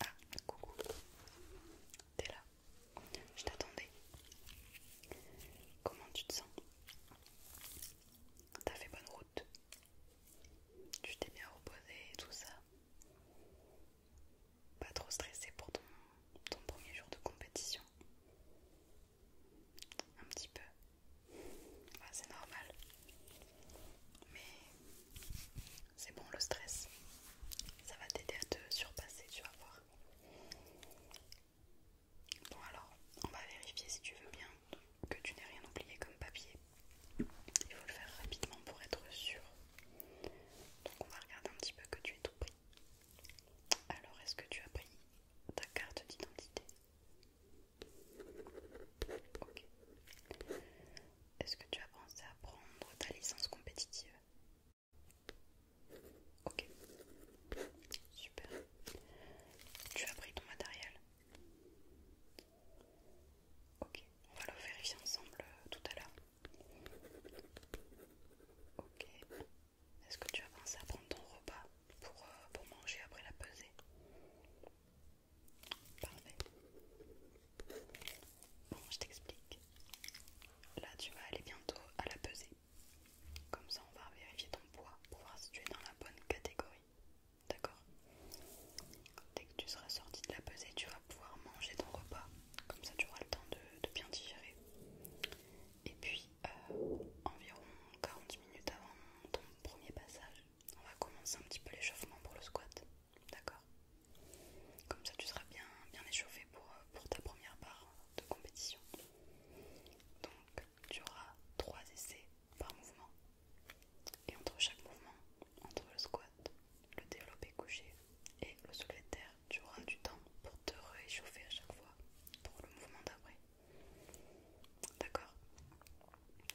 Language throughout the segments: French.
Ah, coucou, t'es là, je t'attendais. Comment tu te sens T'as fait bonne route. Tu t'es bien reposé et tout ça. Pas trop stressé pour ton, premier jour de compétition. Un petit peu. c'est normal. Mais c'est bon le stress. Ça va t'aider à te surpasser, tu vas voir. Bon alors, on va vérifier si tu veux bien que tu n'aies rien oublié comme papier. Il faut le faire rapidement pour être sûr. Donc on va regarder un petit peu que tu es tout pris. Alors est-ce que tu as pris ta carte d'identité Ok. Est-ce que tu as pensé à prendre ta licence compétitive Ok. Super. Tu as pris ton matériel Ok, on va le vérifier ensemble euh, tout à l'heure. Ok. Est-ce que tu as pensé à prendre ton repas pour, euh, pour manger après la pesée Parfait. Bon, je t'explique. Là, tu vas aller bientôt à la pesée. Comme ça, on va vérifier ton poids pour voir si tu es dans la bonne catégorie. D'accord Dès que tu seras sorti de la pesée, tu vas pouvoir manger ton repas. Comme ça, tu auras le temps de, bien digérer. Et puis, euh, environ 40 minutes avant ton premier passage, on va commencer un petit peu l'échauffement pour le squat. D'accord Comme ça, tu seras bien, bien échauffé pour, euh, pour ta première part de compétition. Donc, tu auras 3 essais par mouvement. Et entre chaque mouvement, entre le squat, le développé couché et le soulevé terre, tu auras du temps pour te réchauffer à chaque fois pour le mouvement d'après. D'accord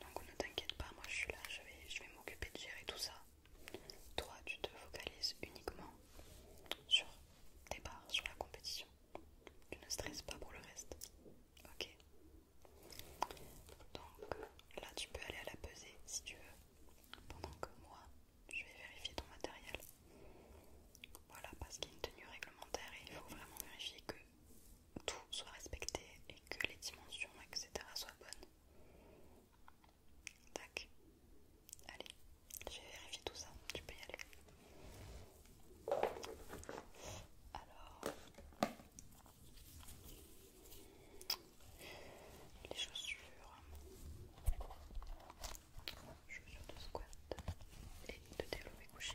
Donc ne t'inquiète pas, moi je suis là, je vais, je vais m'occuper de gérer tout ça. Toi, tu te focalises uniquement sur tes barres, sur la compétition. Tu ne stresses pas pour le reste. Ok. Donc là, tu peux aller à la pesée si tu veux. Pendant que moi, je vais vérifier ton matériel. Voilà, parce qu'il y a une tenue réglementaire et il faut vraiment vérifier que tout soit respecté et que les dimensions, etc. soient bonnes. Tac. Allez, je vais tout ça, tu peux y aller. Alors, les chaussures, chaussures de squat et de développé couché.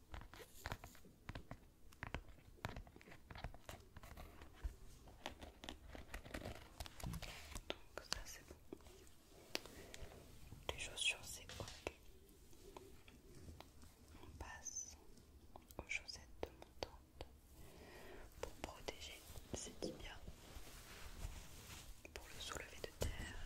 Donc ça c'est bon. Les chaussures c'est ok. On passe aux chaussettes de montante pour protéger ses tibias, pour le soulever de terre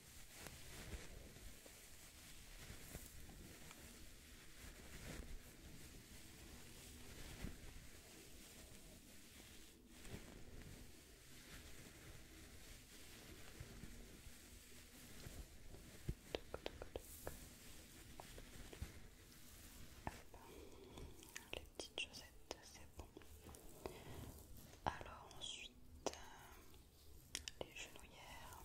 Les petites chaussettes, c'est bon. Alors ensuite, euh, les genouillères.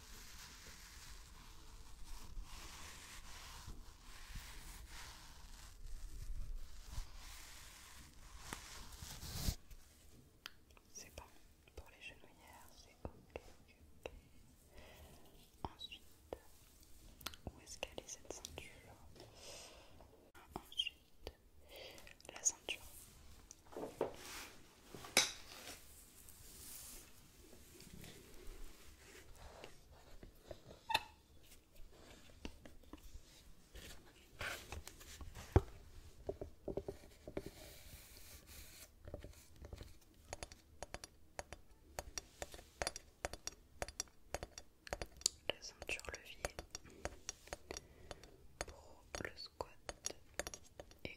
C'est bon, pour les genouillères, c'est ok, Ensuite, où est-ce qu'elle est cette ceinture Ensuite, la ceinture. La ceinture levier pour le squat et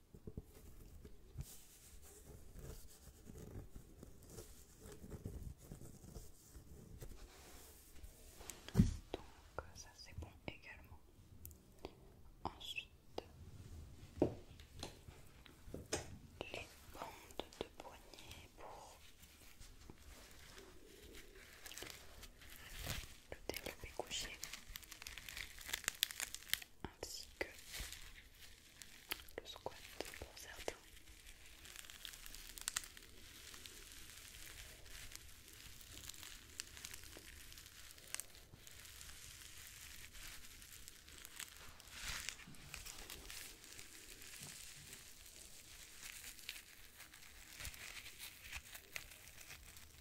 Donc ça c'est bon également. Ensuite, les bandes de poignet pour le développer couché ainsi que le squat pour certains.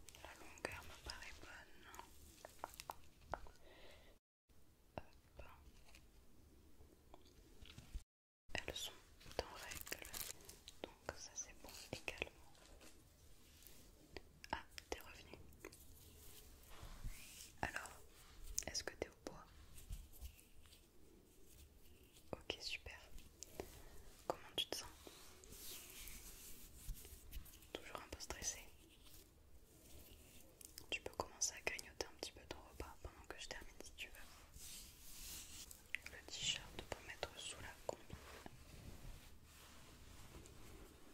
La longueur me paraît bonne. Elles sont en règle, donc ça c'est bon également. Ah, t'es revenu. Alors, est-ce que t'es au bois Ok, super. Comment tu te sens Toujours un peu stressé Tu peux commencer à grignoter un petit peu ton repas pendant que je termine si tu veux. Le t-shirt pour mettre sous la combi.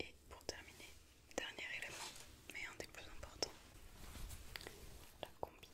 Et pour terminer, dernier élément, mais un des plus importants, la combi.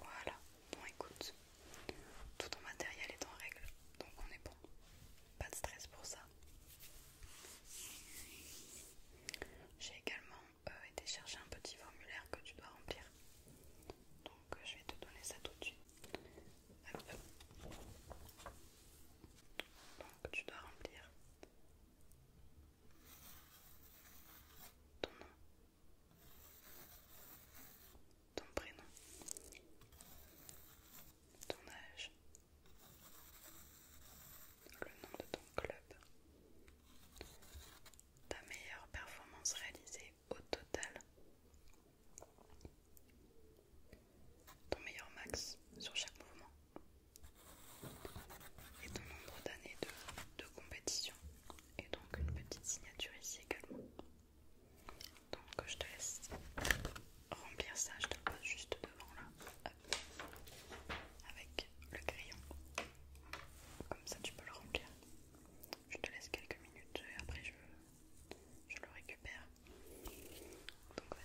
Voilà, bon écoute, tout ton matériel est en règle, donc on est bon. Pas de stress pour ça. J'ai également euh, et été chercher un petit formulaire que tu dois remplir. Donc euh, je vais te donner ça tout de suite. Donc tu dois remplir ton nom, ton prénom, ton âge, le nom de ton club, ta meilleure performance réalisée au total, ton meilleur max sur chaque mouvement et ton nombre d'années de, compétition et donc une petite signature ici également. Donc je te laisse remplir ça, je te le pose juste devant là, avec le crayon. Comme ça, tu peux le remplir. Je te laisse quelques minutes et après je, je le récupère. Donc Voilà.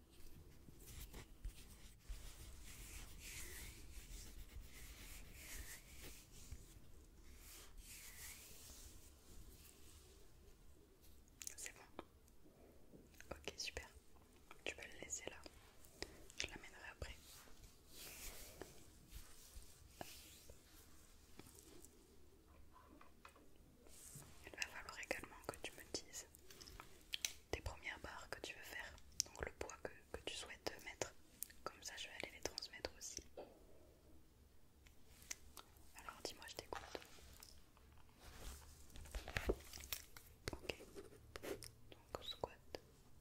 C'est bon. Ok, super. Tu peux le laisser là. Je l'amènerai après. Il va falloir également que tu me dises tes premières barres que tu veux faire, donc le poids que, tu souhaites mettre. Comme ça, je vais aller les transmettre aussi. Alors, dis-moi, je t'écoute. Ok, donc squat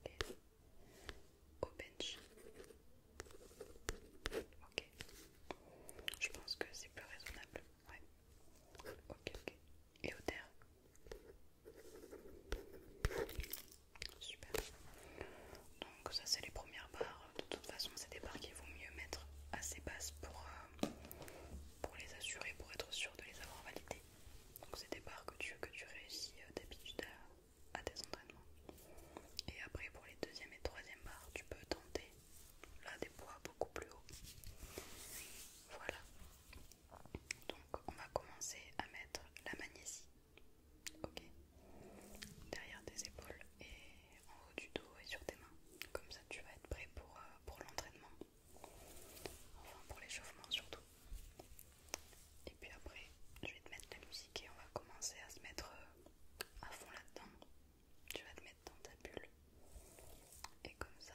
et au bench. Ok, je pense que c'est plus raisonnable. Ouais, ok, ok et au terre Super. Donc ça c'est les premières barres. De toute façon c'est des barres qu'il vaut mieux mettre assez basse pour, euh, pour les assurer, pour être sûr de les avoir validées. Donc c'est des barres que tu, que tu réussis euh, d'habitude à, à tes entraînements. Et après pour les deuxième et troisième barres tu peux tenter là des poids beaucoup plus hauts. Voilà. Donc on va commencer à mettre la magnésie. Ok. Derrière tes épaules et en haut du dos et sur tes mains. Comme ça tu vas être prêt pour, euh, pour l'entraînement. Enfin pour l'échauffement surtout. Et puis après je vais te mettre la musique et on va commencer à se mettre euh, à fond là-dedans. Tu vas te mettre dans ta bulle et comme ça,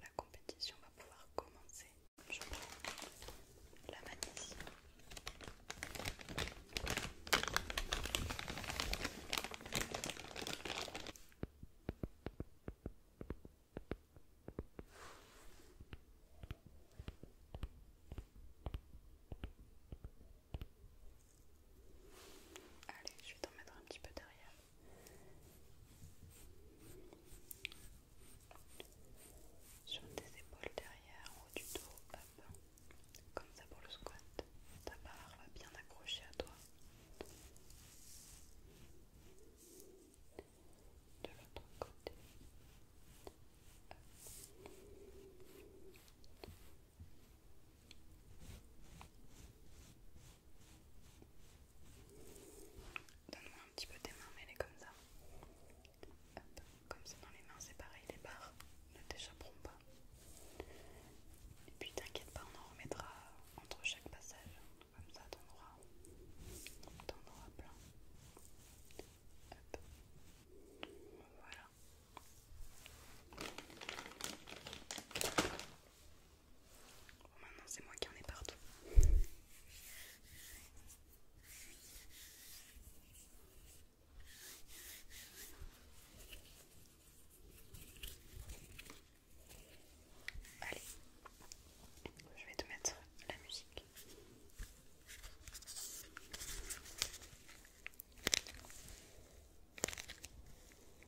la compétition va pouvoir commencer. Je prends la magnésie. Allez, je vais t'en mettre un petit peu derrière. Sur tes épaules derrière, au du dos, Comme ça pour le squat. Ta barre va bien accrocher à toi. De l'autre côté. Donne-moi un petit peu tes mains, mets les comme ça. Comme ça dans les mains, c'est pareil, les barres ne t'échapperont pas. Et puis t'inquiète pas, on en remettra entre chaque passage. Comme ça, t'en auras, plein. Voilà. Oh, maintenant c'est moi qui en ai partout. Allez, je vais te mettre la musique.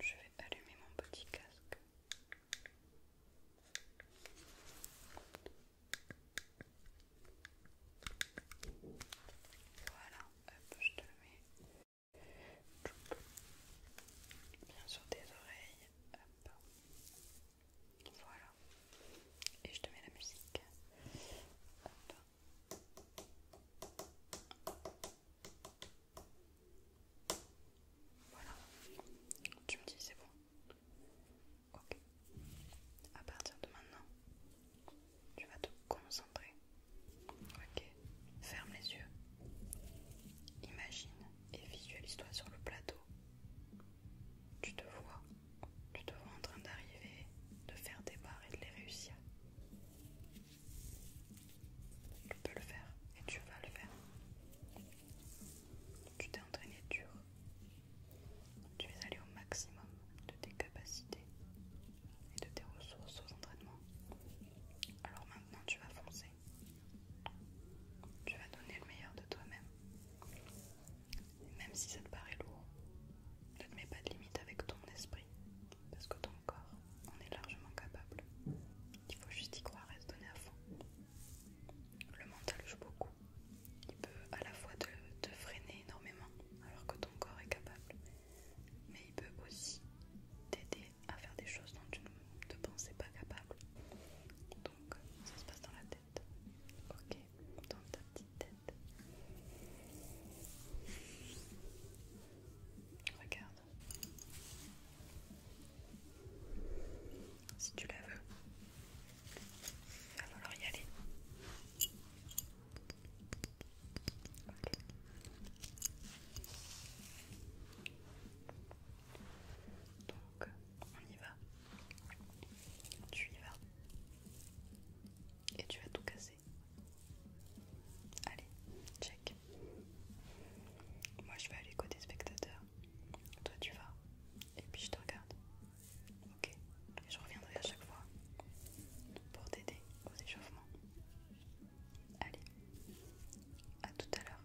Je vais allumer mon petit casque. Voilà, hop, je te le mets. Bien sur tes oreilles. Hop. Voilà. Et je te mets la musique. Voilà, tu me dis c'est bon. Ok. À partir de maintenant, tu vas te concentrer. Ok. Ferme les yeux. Imagine et visualise-toi sur le plateau. Tu te vois tu te vois en train d'arriver, de faire des barres et de les réussir. Tu peux le faire et tu vas le faire. Tu t'es entraîné dur. Tu es allé au maximum de tes capacités et de tes ressources aux entraînements. Alors maintenant tu vas foncer. Tu vas donner le meilleur de toi-même. Même si ça te paraît lourd, ne te mets pas de limite avec ton esprit, parce que ton corps en est largement capable. Il faut juste y croire et se donner à fond. Le mental joue beaucoup. Il peut à la fois te, freiner énormément, alors que ton corps est capable, mais il peut aussi t'aider à faire des choses dont tu ne te pensais pas capable. Donc ça se passe dans la tête. Ok, dans ta petite tête. Regarde. Si tu la veux, il va falloir y aller. Ok. Donc, on y va. Tu y vas. Et tu vas tout casser. Allez, check. Moi je vais aller côté spectateur. Toi tu vas. Et puis je te regarde. Ok. Et je reviendrai à chaque fois pour t'aider aux échauffements. Allez, à tout à l'heure.